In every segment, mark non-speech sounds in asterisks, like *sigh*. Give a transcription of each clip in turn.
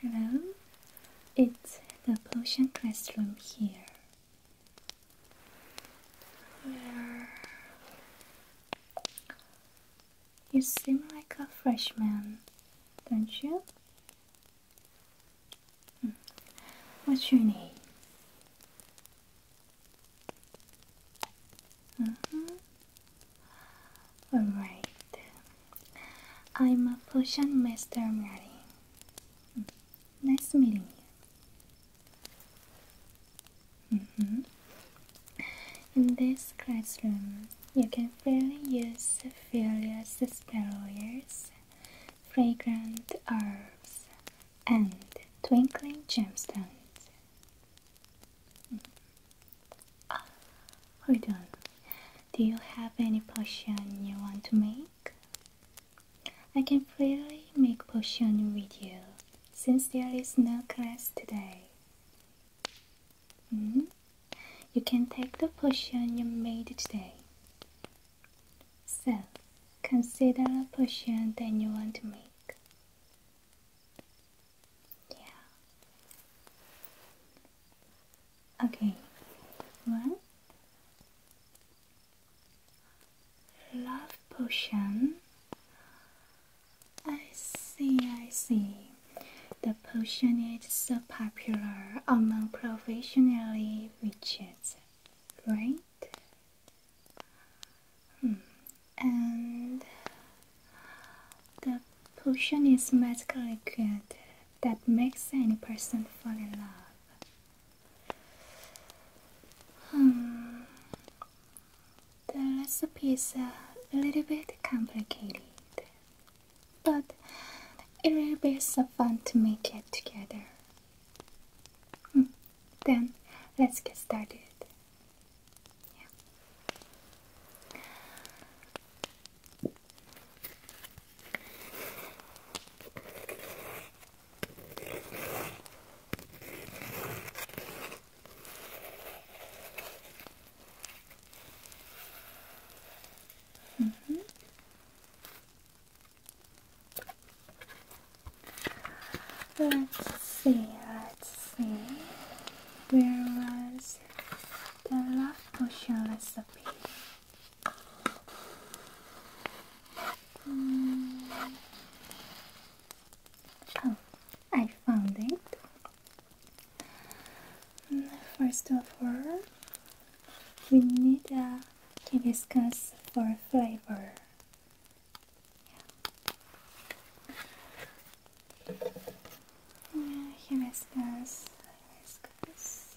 Hello, it's the potion classroom here. You seem like a freshman, don't you? Hmm. What's your name? Mm -hmm. Alright. I'm a potion master, Mary. Hmm. Nice meeting you. Mm -hmm. In this classroom, you can freely use various spell oils, fragrant herbs, and twinkling gemstones. hold on. Do you have any potion you want to make? I can freely make potion with you since there is no class today. Hmm? you can take the potion you made today. So, consider a potion that you want to make. Yeah. Okay. One. Love potion. I see, I see. The potion is so popular among professionally witches, right? Hmm. And the potion is magically liquid that makes any person fall in love. Hmm. The recipe is a little bit complicated but it will be so fun to make it together. Hmm, then let's get started. Mm-hmm. Let's see, let's see. Where was the love potion recipe? Mm. Oh, I found it. First of all, we need a hibiscus for flavor. Yeah, hibiscus, hibiscus.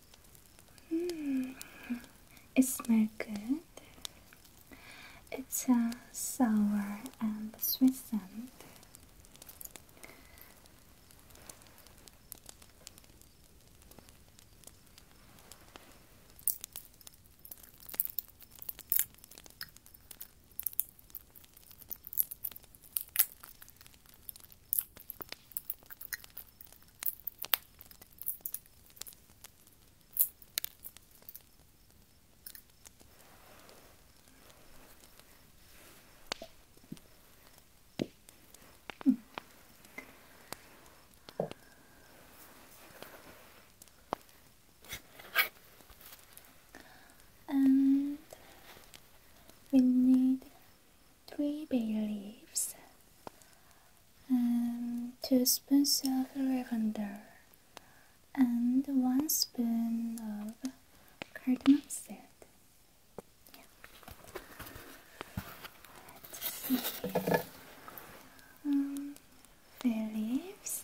Hmm. It smells good. It's a sour and sweet scent. And we need three bay leaves um, two spoons of lavender and one spoon of cardamom seed. Let's see. Um, fair leaves.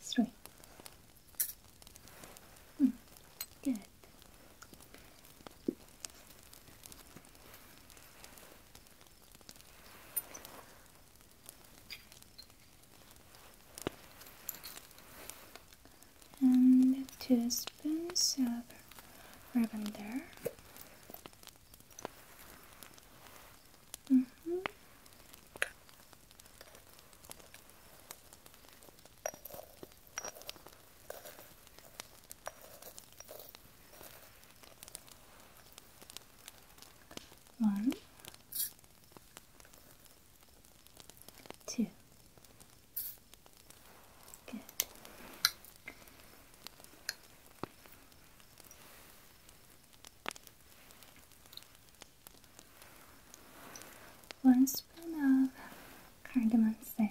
Three. Hmm. good. And two spoons of ribbon Mm -hmm. One, two. Good. One spoon of cardamom seed.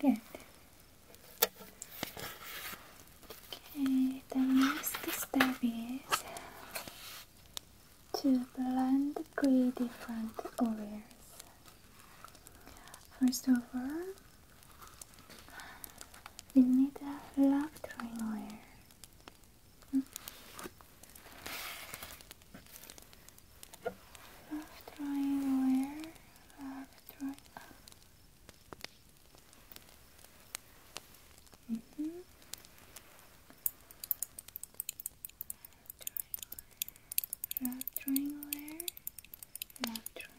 Good. Okay, the next step is to blend three different oils. First of all, we need a love triangle. wire. Hmm? Love drawing Love drawing. Hmm. Love drawing Love drawing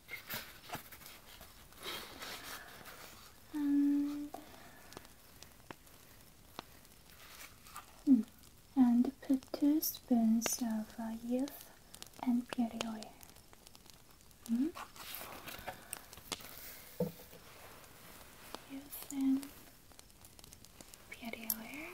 and hmm, and put two spoons of uh, youth and beauty hmm? Youth and beauty oil.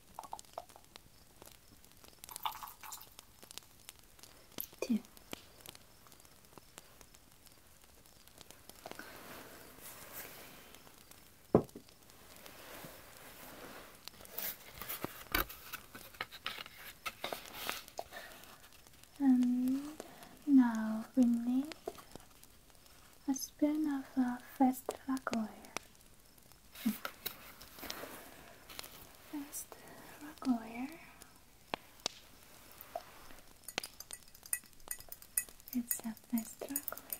And now we need a spoon of uh, fast lac oil. That's the rock layer. It's up nice rock layer.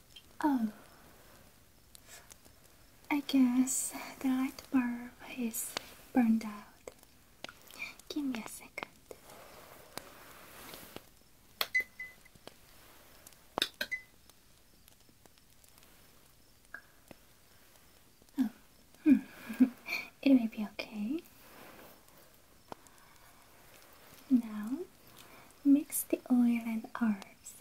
Oh, I guess the light bulb is burned out. Give me a second. Oh, *laughs* it may be okay. Now mix the oil and herbs.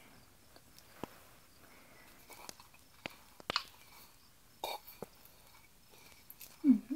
Mm-hmm.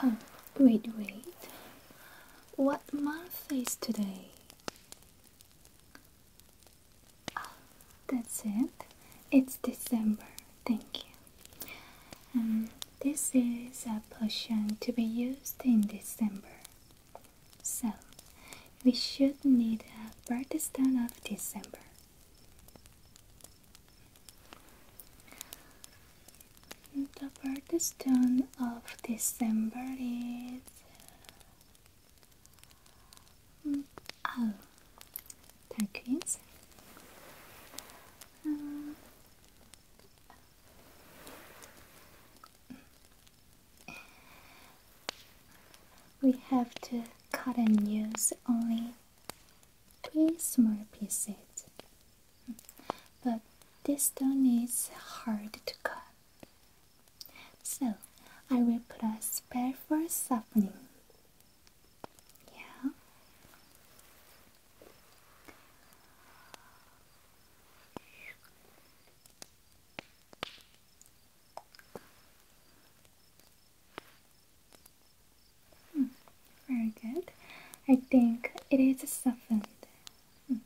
Oh, wait, wait. What month is today? that's it. It's December. Thank you. Um, this is a potion to be used in December. So, we should need a birthstone of December. The birthstone of December is mm, oh, Turquoise. Uh, we have to cut and use only three small pieces but this stone is hard to cut. So I will put a spare for softening. Yeah. Hmm, very good. I think it is softened. Hmm.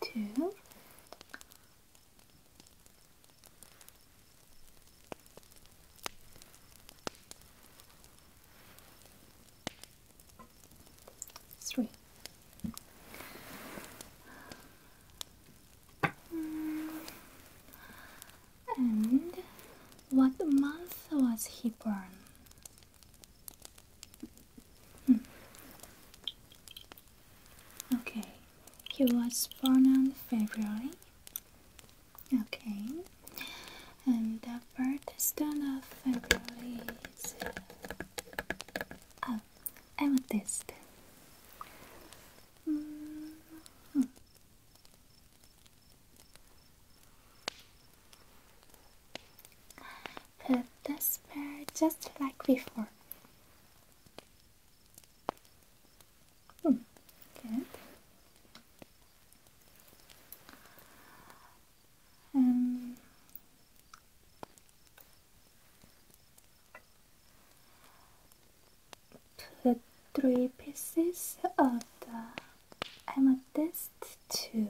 two, three. And what month was he born? Hmm. Okay, he was born on February. Okay, and the birthstone of February is oh, amethyst put this pair just like before. Hmm, good. Um, put three pieces of the amethyst too.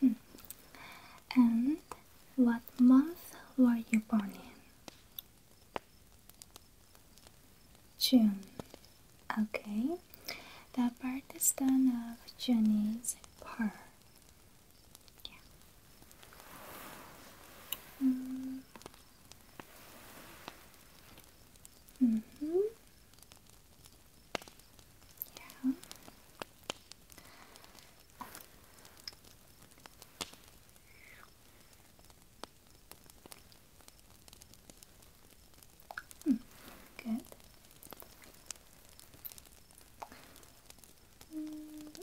Hmm. And what month were you born in? June. Okay. The part is done of Jenny's part. Yeah. Mm. Mhm. yeah. Mm, good. Mm,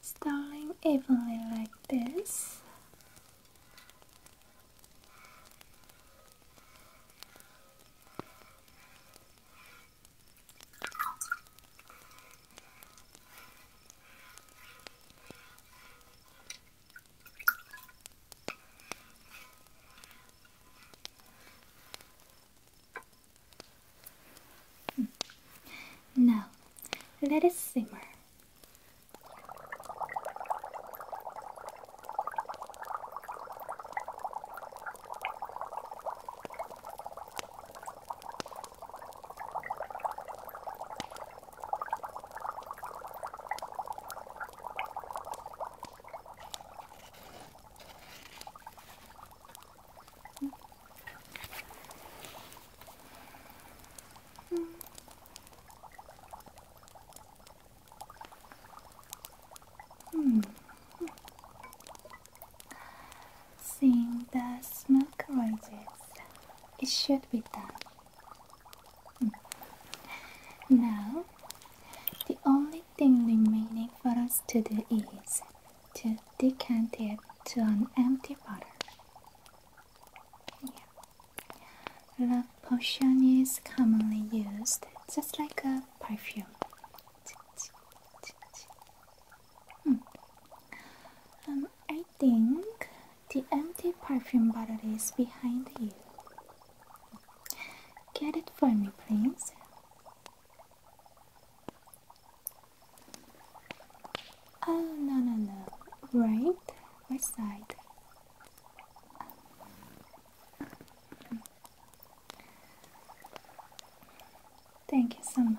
Starting evenly like this. Hmm. Now, let it simmer. Seeing the smoke rises, it should be done. Hmm. Now, the only only thing remaining for us to do is to decant it to an empty bottle. The potion is commonly used just like a perfume. Hmm. Um, I think the empty perfume bottle is behind you. Get it for me, please. Oh, no, no, no. Right? Which side? Thank you so much.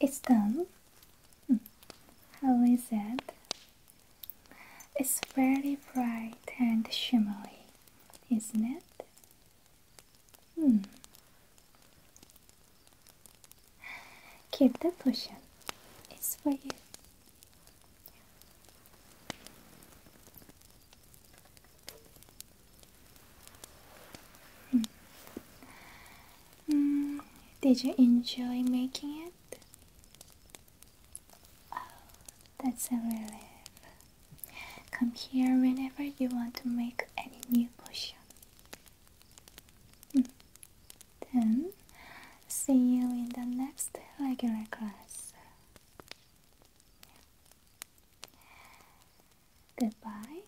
It's done. Hmm. How is it? It's very bright and shimmery, isn't it? Hmm. Keep the potion. It's for you. Hmm. did you enjoy making it? Oh, that's a relief. Come here whenever you want to make any new potion. Hmm. Then, see you in the next regular class. Goodbye.